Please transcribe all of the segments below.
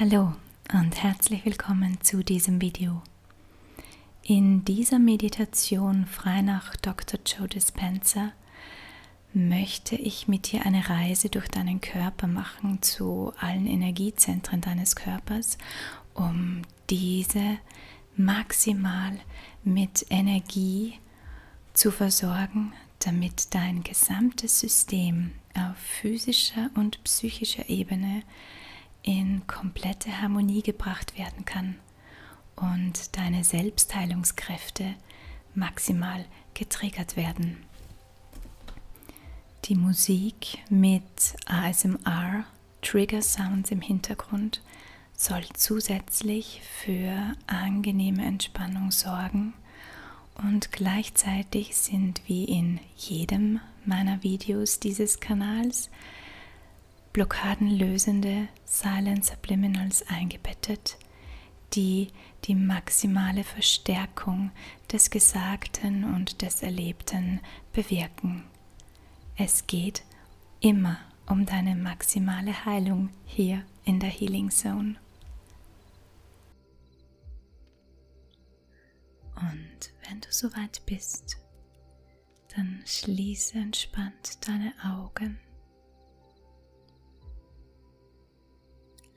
Hallo und herzlich willkommen zu diesem Video. In dieser Meditation frei nach Dr. Joe Dispenza möchte ich mit dir eine Reise durch deinen Körper machen zu allen Energiezentren deines Körpers, um diese maximal mit Energie zu versorgen, damit dein gesamtes System auf physischer und psychischer Ebene in komplette Harmonie gebracht werden kann und deine Selbstheilungskräfte maximal getriggert werden. Die Musik mit ASMR Trigger Sounds im Hintergrund soll zusätzlich für angenehme Entspannung sorgen und gleichzeitig sind wie in jedem meiner Videos dieses Kanals blockadenlösende Silent Subliminals eingebettet, die die maximale Verstärkung des Gesagten und des Erlebten bewirken. Es geht immer um deine maximale Heilung hier in der Healing Zone. Und wenn du soweit bist, dann schließe entspannt deine Augen.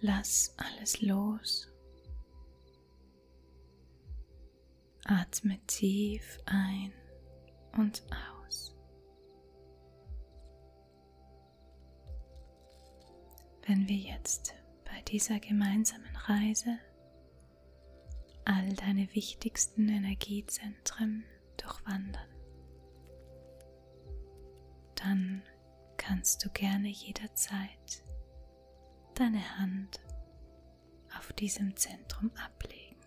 Lass alles los. Atme tief ein und aus wenn wir jetzt bei dieser gemeinsamen Reise all deine wichtigsten Energiezentren durchwandern. Dann kannst du gerne jederzeit deine Hand auf diesem Zentrum ablegen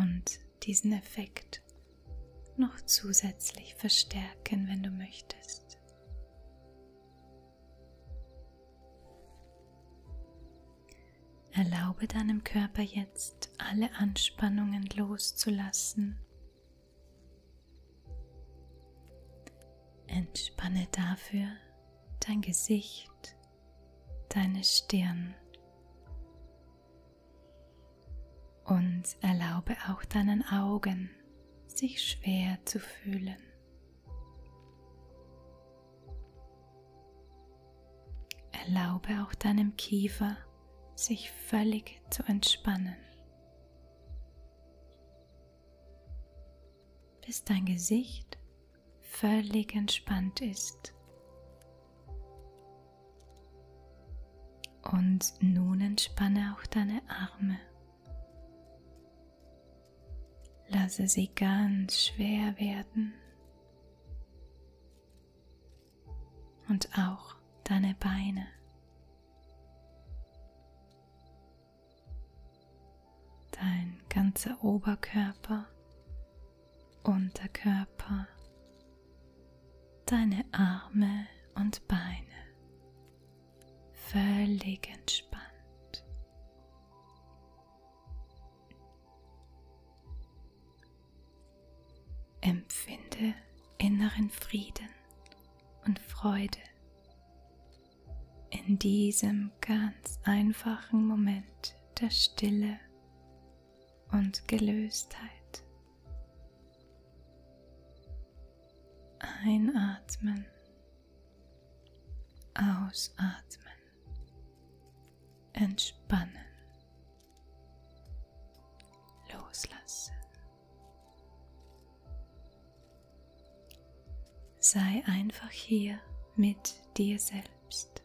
und diesen Effekt noch zusätzlich verstärken, wenn du möchtest. Erlaube deinem Körper jetzt alle Anspannungen loszulassen. Entspanne dafür dein Gesicht, deine Stirn, und erlaube auch deinen Augen, sich schwer zu fühlen. Erlaube auch deinem Kiefer, sich völlig zu entspannen. Bis dein Gesicht völlig entspannt ist und nun entspanne auch deine Arme. Lasse sie ganz schwer werden. Und auch deine Beine. Dein ganzer Oberkörper, Unterkörper, deine Arme und Beine völlig entspannt. Empfinde inneren Frieden und Freude in diesem ganz einfachen Moment der Stille und Gelöstheit. Einatmen, ausatmen, entspannen, loslassen. Sei einfach hier mit dir selbst.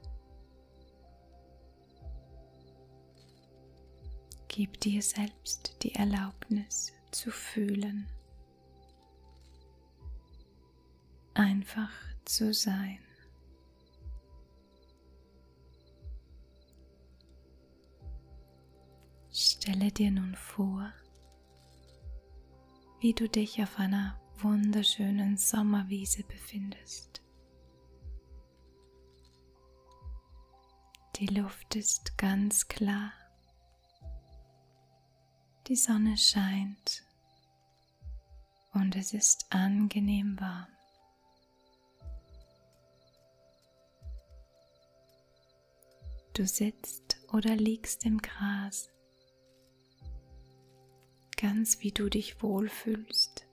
Gib dir selbst die Erlaubnis zu fühlen, einfach zu sein. Stelle dir nun vor, wie du dich auf einer wunderschönen Sommerwiese befindest. Die Luft ist ganz klar. Die Sonne scheint und es ist angenehm warm. Du sitzt oder liegst im Gras, ganz wie du dich wohlfühlst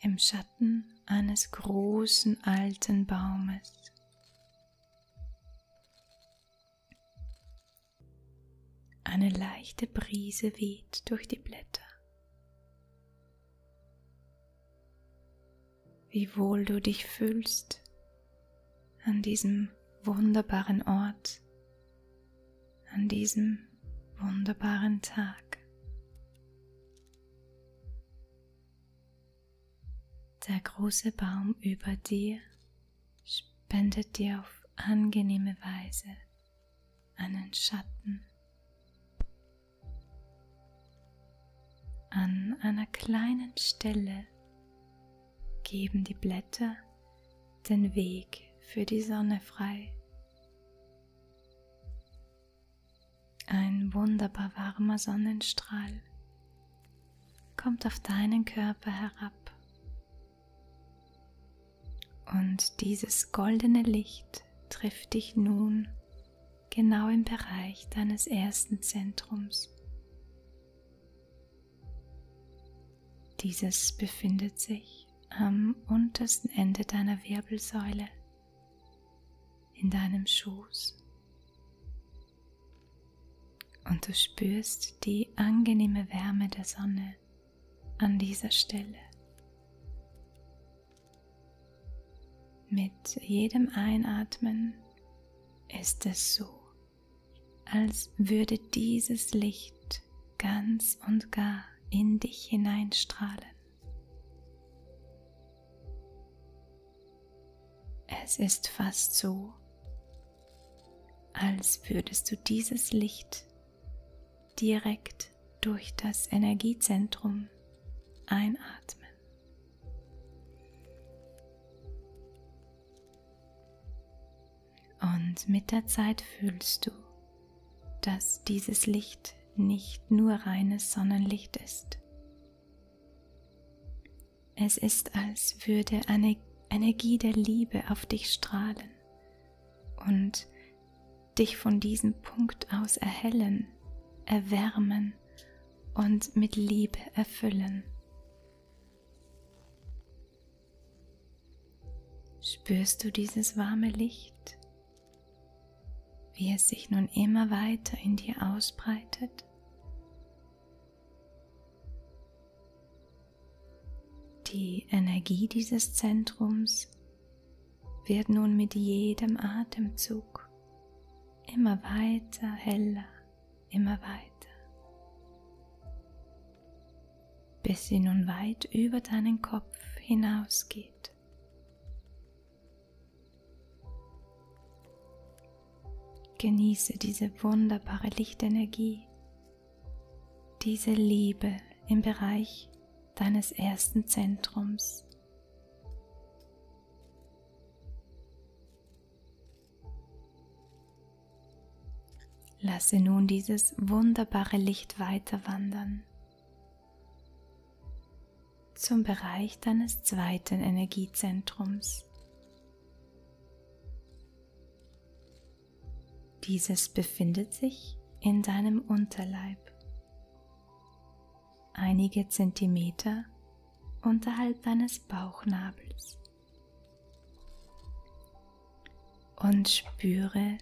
im Schatten eines großen alten Baumes. Eine leichte Brise weht durch die Blätter. Wie wohl du dich fühlst an diesem wunderbaren Ort, an diesem wunderbaren Tag. Der große Baum über dir spendet dir auf angenehme Weise einen Schatten. An einer kleinen Stelle geben die Blätter den Weg für die Sonne frei. Ein wunderbar warmer Sonnenstrahl kommt auf deinen Körper herab. Und dieses goldene Licht trifft dich nun genau im Bereich deines ersten Zentrums. Dieses befindet sich am untersten Ende deiner Wirbelsäule in deinem Schoß. Und du spürst die angenehme Wärme der Sonne an dieser Stelle. Mit jedem Einatmen ist es so, als würde dieses Licht ganz und gar in dich hineinstrahlen. Es ist fast so, als würdest du dieses Licht direkt durch das Energiezentrum einatmen. Und mit der Zeit fühlst du, dass dieses Licht nicht nur reines Sonnenlicht ist. Es ist, als würde eine Energie der Liebe auf dich strahlen und dich von diesem Punkt aus erhellen, erwärmen und mit Liebe erfüllen. Spürst du dieses warme Licht wie es sich nun immer weiter in dir ausbreitet. Die Energie dieses Zentrums wird nun mit jedem Atemzug immer weiter heller, immer weiter, bis sie nun weit über deinen Kopf hinausgeht. Zeit. Genieße diese wunderbare Lichtenergie, diese Liebe im Bereich deines ersten Zentrums. Lasse nun dieses wunderbare Licht weiter wandern zum Bereich deines zweiten Energiezentrums. Dieses befindet sich in deinem Unterleib, einige Zentimeter unterhalb deines Bauchnabels. Und spüre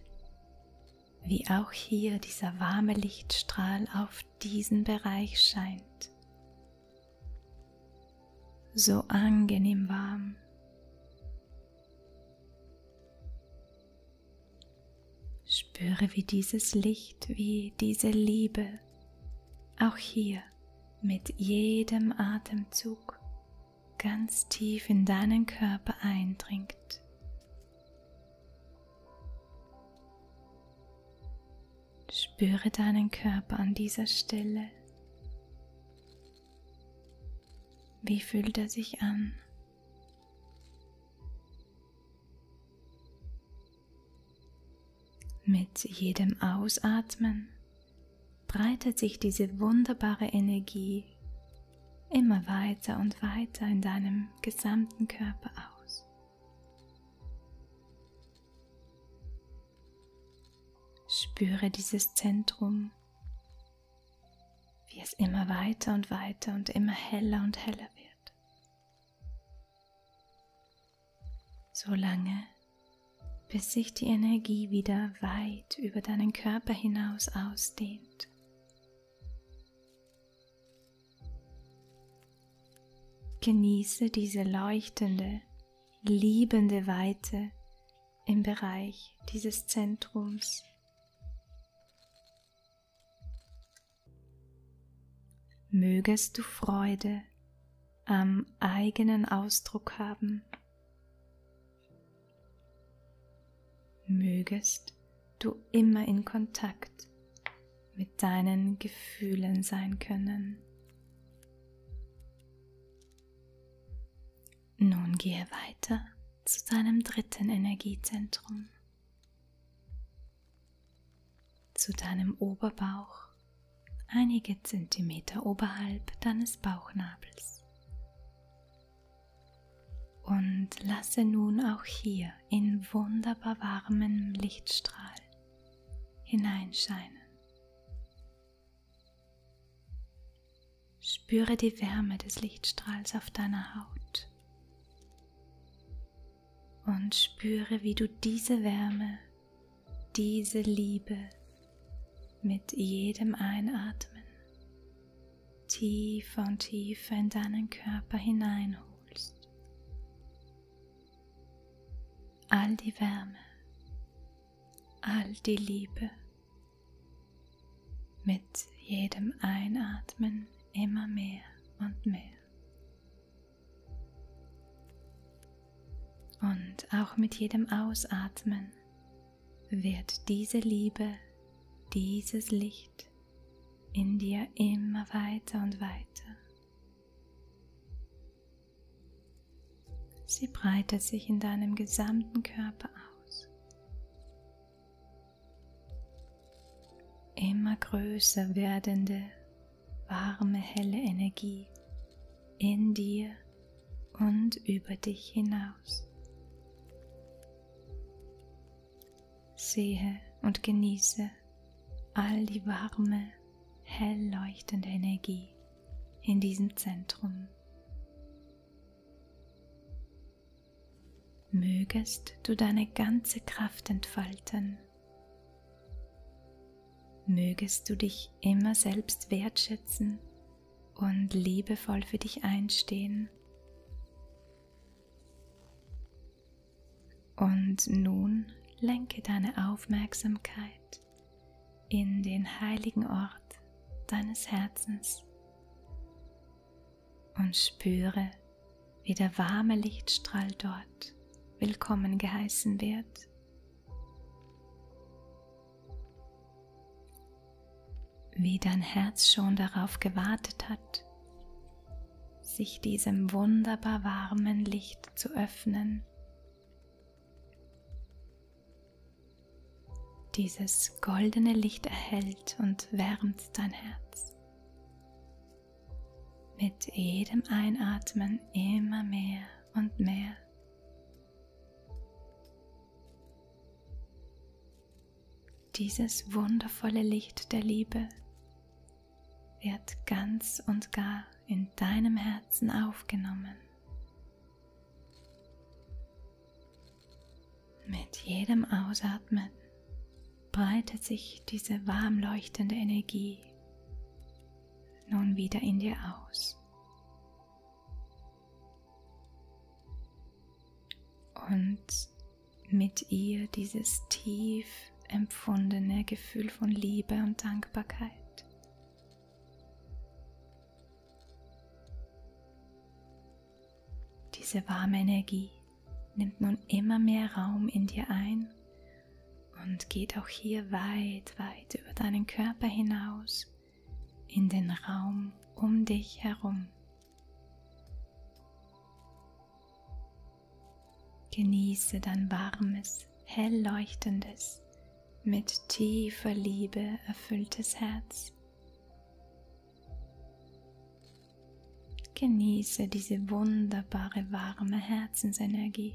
wie auch hier dieser warme Lichtstrahl auf diesen Bereich scheint. So angenehm warm. Spüre, wie dieses Licht, wie diese Liebe, auch hier mit jedem Atemzug ganz tief in deinen Körper eindringt Spüre deinen Körper an dieser Stelle. Wie fühlt er sich an? Mit jedem Ausatmen breitet sich diese wunderbare Energie immer weiter und weiter in deinem gesamten Körper aus. Spüre dieses Zentrum, wie es immer weiter und weiter und immer heller und heller wird. So lange, bis sich die Energie wieder weit über deinen Körper hinaus ausdehnt Genieße diese leuchtende, liebende Weite im Bereich dieses Zentrums. Mögest du Freude am eigenen Ausdruck haben. Mögest du immer in Kontakt mit deinen Gefühlen sein können. Nun gehe weiter zu deinem dritten Energiezentrum, zu deinem Oberbauch, einige Zentimeter oberhalb deines Bauchnabels. Und lasse nun auch hier in wunderbar warmen Lichtstrahl hineinscheinen. Spüre die Wärme des Lichtstrahls auf deiner Haut und spüre, wie du diese Wärme, diese Liebe mit jedem Einatmen tiefer und tiefer in deinen Körper hineinholst. All die Wärme, all die Liebe. Mit jedem Einatmen immer mehr und mehr. Und auch mit jedem Ausatmen wird diese Liebe, dieses Licht in dir immer weiter und weiter. Sie breitet sich in deinem gesamten Körper aus. Immer größer werdende, warme, helle Energie in dir und über dich hinaus hinaus. Sehe und genieße all die warme, hell leuchtende Energie in diesem Zentrum. Mögest du deine ganze Kraft entfalten. Mögest du dich immer selbst wertschätzen und liebevoll für dich einstehen. Und nun lenke deine Aufmerksamkeit in den heiligen Ort deines Herzens und spüre, wie der warme Lichtstrahl dort willkommen geheißen wird wie dein Herz schon darauf gewartet hat, sich diesem wunderbar warmen Licht zu öffnen. Dieses goldene Licht erhält und wärmt dein Herz. Mit jedem Einatmen immer mehr und mehr. Dieses wundervolle Licht der Liebe wird ganz und gar in deinem Herzen aufgenommen. Mit jedem Ausatmen breitet sich diese warm leuchtende Energie nun wieder in dir aus und mit ihr dieses tief empfundene Gefühl von Liebe und Dankbarkeit. Diese warme Energie nimmt nun immer mehr Raum in dir ein und geht auch hier weit, weit über deinen Körper hinaus in den Raum um dich herum. Genieße dein warmes, hell leuchtendes, mit tiefer Liebe erfülltes Herz. Genieße diese wunderbare warme Herzensenergie.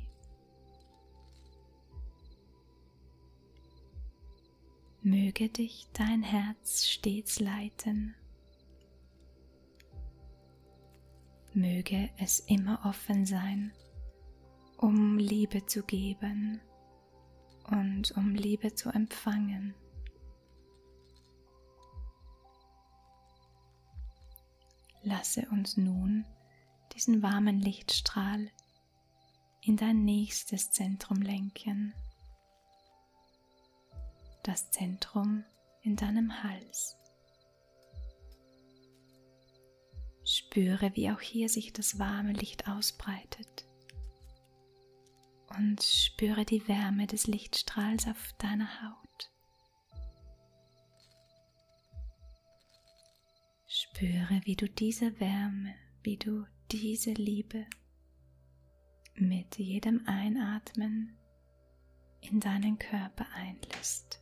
Möge dich dein Herz stets leiten. Möge es immer offen sein, um Liebe zu geben und um Liebe zu empfangen. Lasse uns nun diesen warmen Lichtstrahl in dein nächstes Zentrum lenken. Das Zentrum in deinem Hals. Spüre, wie auch hier sich das warme Licht ausbreitet. Und spüre die Wärme des Lichtstrahls auf deiner Haut. Spüre, wie du diese Wärme, wie du diese Liebe mit jedem Einatmen in deinen Körper einlässt.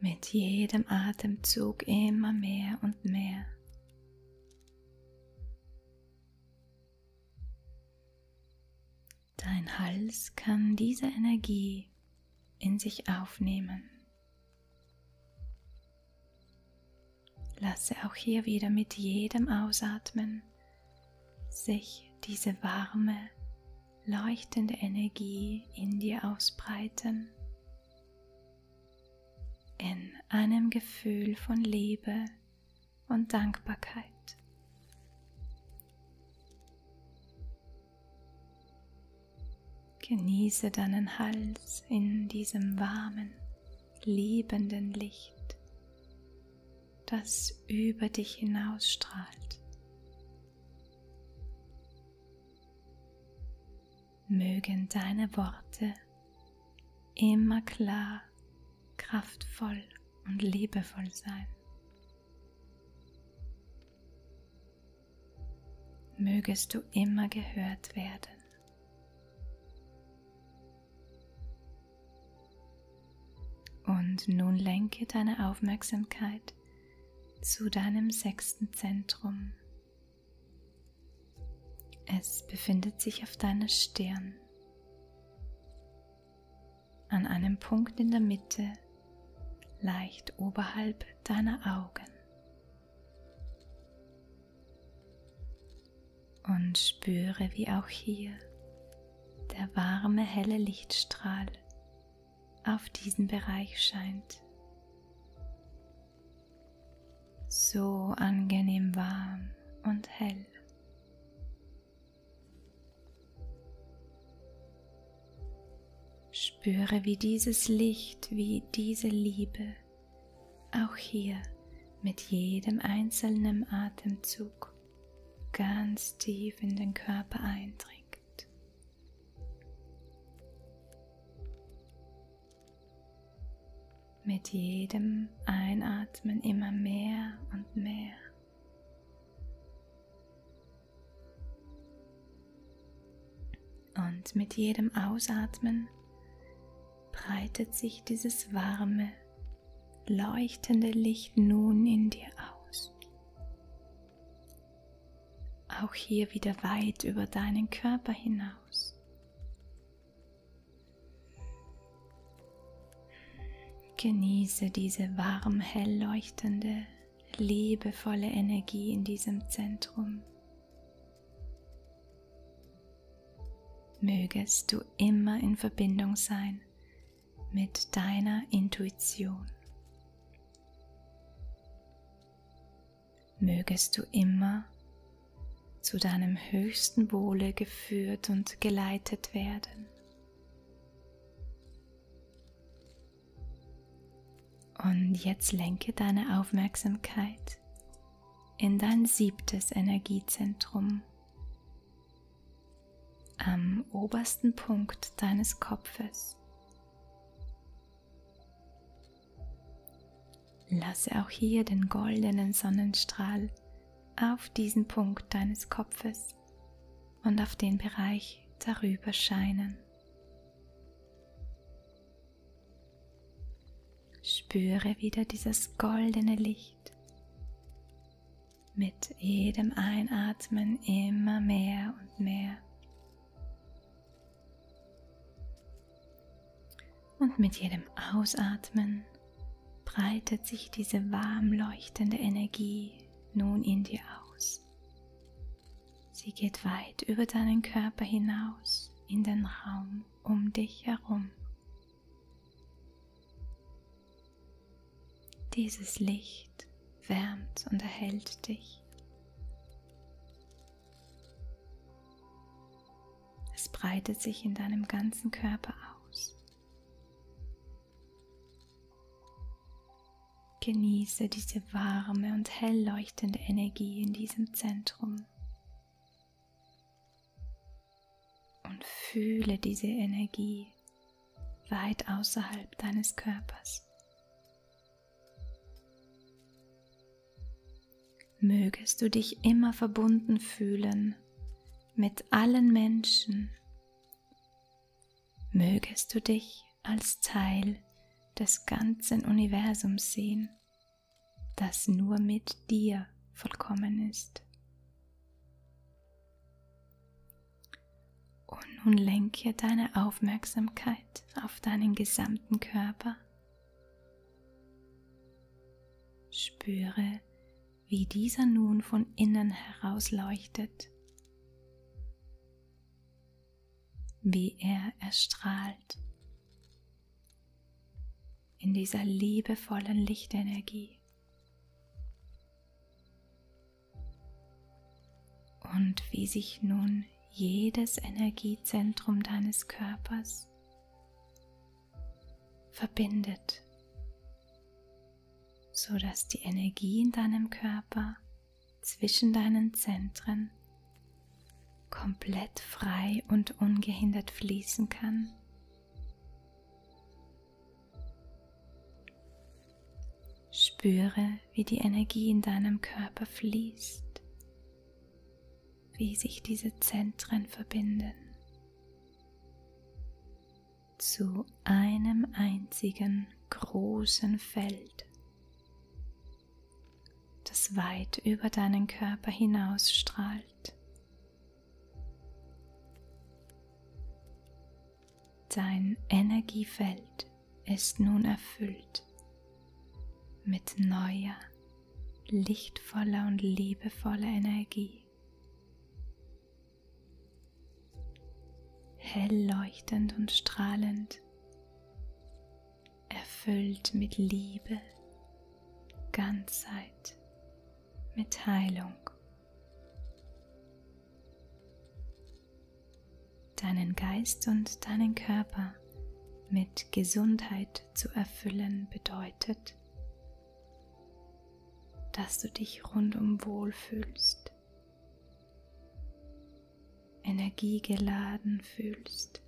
Mit jedem Atemzug immer mehr und mehr. Dein Hals kann diese Energie in sich aufnehmen Lasse auch hier wieder mit jedem Ausatmen sich diese warme, leuchtende Energie in dir ausbreiten. In einem Gefühl von Liebe und Dankbarkeit. Genieße deinen Hals in diesem warmen, liebenden Licht, das über dich hinausstrahlt. Mögen deine Worte immer klar, kraftvoll und liebevoll sein mögest du immer gehört werden. Und nun lenke deine Aufmerksamkeit zu deinem sechsten Zentrum. Es befindet sich auf deiner Stirn, an einem Punkt in der Mitte, leicht oberhalb deiner Augen. Und spüre, wie auch hier der warme, helle Lichtstrahl auf diesen Bereich scheint. So angenehm warm und hell. Spüre, wie dieses Licht, wie diese Liebe auch hier mit jedem einzelnen Atemzug ganz tief in den Körper eindringt. Mit jedem Einatmen immer mehr und mehr. Und mit jedem Ausatmen breitet sich dieses warme, leuchtende Licht nun in dir aus. Auch hier wieder weit über deinen Körper hinaus. Genieße diese warm, hell leuchtende liebevolle Energie in diesem Zentrum. Mögest du immer in Verbindung sein mit deiner Intuition. Mögest du immer zu deinem höchsten Wohle geführt und geleitet werden. Und jetzt lenke deine Aufmerksamkeit in dein siebtes Energiezentrum am obersten Punkt deines Kopfes. Lasse auch hier den goldenen Sonnenstrahl auf diesen Punkt deines Kopfes und auf den Bereich darüber scheinen. Spüre wieder dieses goldene Licht. Mit jedem Einatmen immer mehr und mehr. Und mit jedem Ausatmen breitet sich diese warm leuchtende Energie nun in dir aus. Sie geht weit über deinen Körper hinaus in den Raum um dich herum. Dieses Licht wärmt und erhält dich. Es breitet sich in deinem ganzen Körper aus. Genieße diese warme und hell leuchtende Energie in diesem Zentrum. Und fühle diese Energie weit außerhalb deines Körpers. Mögest du dich immer verbunden fühlen mit allen Menschen. Mögest du dich als Teil des ganzen Universums sehen, das nur mit dir vollkommen ist. Und nun lenke deine Aufmerksamkeit auf deinen gesamten Körper. Spüre, wie dieser nun von innen heraus leuchtet wie er erstrahlt in dieser liebevollen Lichtenergie. Und wie sich nun jedes Energiezentrum deines Körpers verbindet, so dass die Energie in deinem Körper zwischen deinen Zentren komplett frei und ungehindert fließen kann. Spüre, wie die Energie in deinem Körper fließt, wie sich diese Zentren verbinden zu einem einzigen großen Feld, das weit über deinen Körper hinausstrahlt. Dein Energiefeld ist nun erfüllt mit neuer, lichtvoller und liebevoller Energie hell leuchtend und strahlend, erfüllt mit Liebe, Ganzheit, mit Heilung. Deinen Geist und deinen Körper mit Gesundheit zu erfüllen bedeutet, dass du dich rundum wohl fühlst energiegeladen fühlst,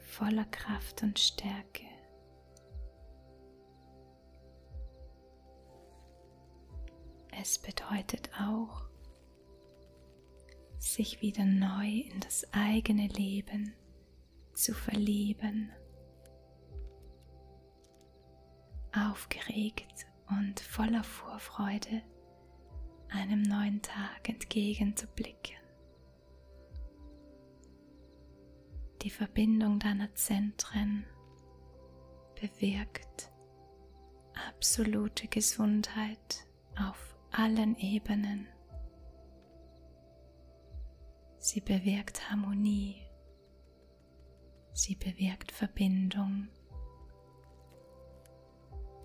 voller Kraft und Stärke. Es bedeutet auch, sich wieder neu in das eigene Leben zu verlieben aufgeregt und voller Vorfreude einem neuen Tag entgegenzublicken. Die Verbindung deiner Zentren bewirkt absolute Gesundheit auf allen Ebenen. Sie bewirkt Harmonie Sie bewirkt Verbindung,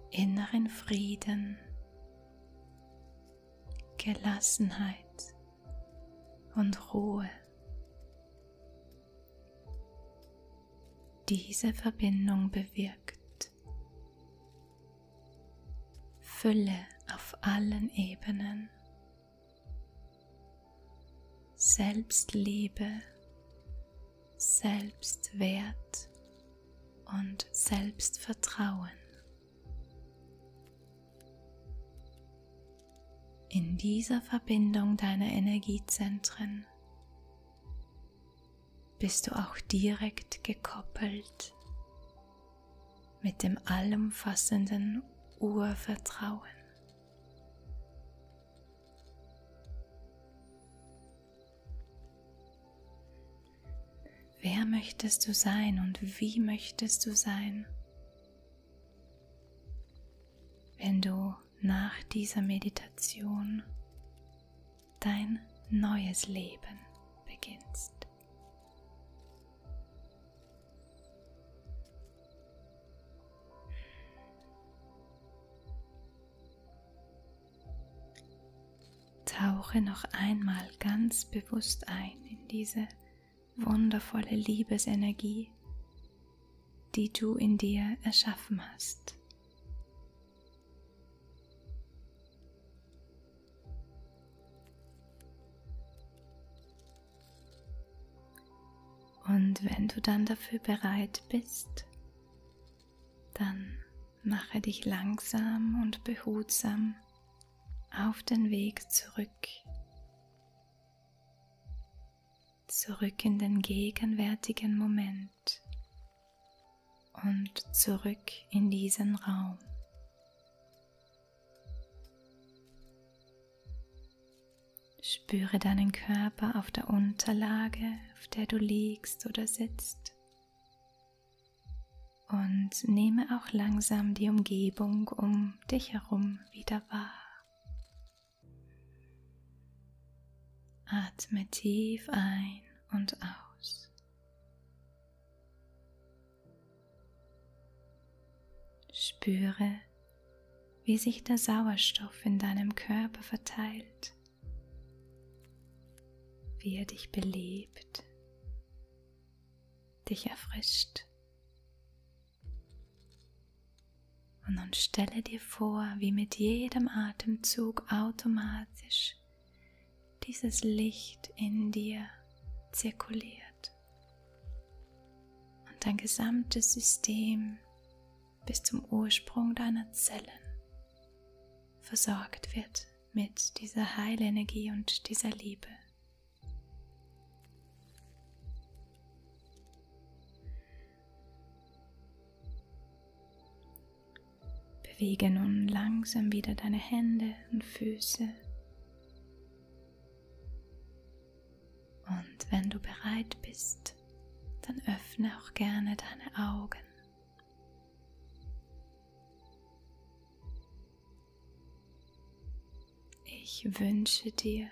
inneren Frieden, Gelassenheit und Ruhe. Diese Verbindung bewirkt Fülle auf allen Ebenen Selbstliebe, Selbstwert und Selbstvertrauen. In dieser Verbindung deiner Energiezentren bist du auch direkt gekoppelt mit dem allumfassenden Urvertrauen. Wer möchtest du sein und wie möchtest du sein, wenn du nach dieser Meditation dein neues Leben beginnst? Tauche noch einmal ganz bewusst ein in diese wundervolle Liebesenergie, die du in dir erschaffen hast. Und wenn du dann dafür bereit bist, dann mache dich langsam und behutsam auf den Weg zurück, zurück in den gegenwärtigen Moment und zurück in diesen Raum. Spüre deinen Körper auf der Unterlage, auf der du liegst oder sitzt. Und nehme auch langsam die Umgebung um dich herum wieder wahr. Atme tief ein und aus. Spüre wie sich der Sauerstoff in deinem Körper verteilt, wie er dich belebt, dich erfrischt. Und nun stelle dir vor, wie mit jedem Atemzug automatisch dieses Licht in dir zirkuliert wird und dein gesamtes System bis zum Ursprung deiner Zellen versorgt wird mit dieser Heilenergie und dieser Liebe. Bewege nun langsam wieder deine Hände und Füße und wenn du bereit bist, dann öffne auch gerne deine Augen. Ich wünsche dir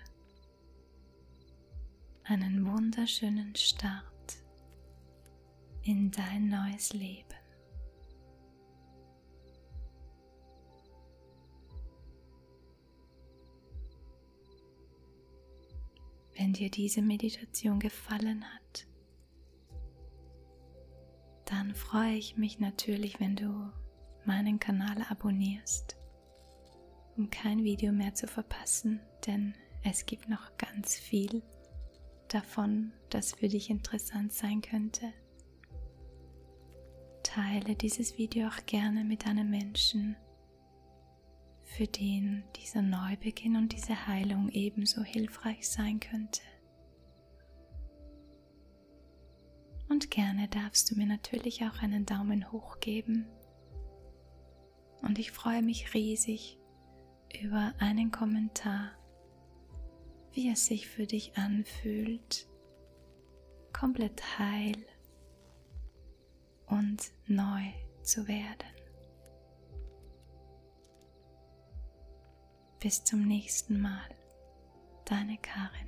einen wunderschönen Start in dein neues Leben. Wenn dir diese Meditation gefallen hat, dann freue ich mich natürlich, wenn du meinen Kanal abonnierst, um kein Video mehr zu verpassen, denn es gibt noch ganz viel davon, das für dich interessant sein könnte. Teile dieses Video auch gerne mit einem Menschen, für den dieser Neubeginn und diese Heilung ebenso hilfreich sein könnte. Und gerne darfst du mir natürlich auch einen Daumen hoch geben. Und ich freue mich riesig über einen Kommentar, wie es sich für dich anfühlt, komplett heil und neu zu werden. Bis zum nächsten Mal, deine Karin.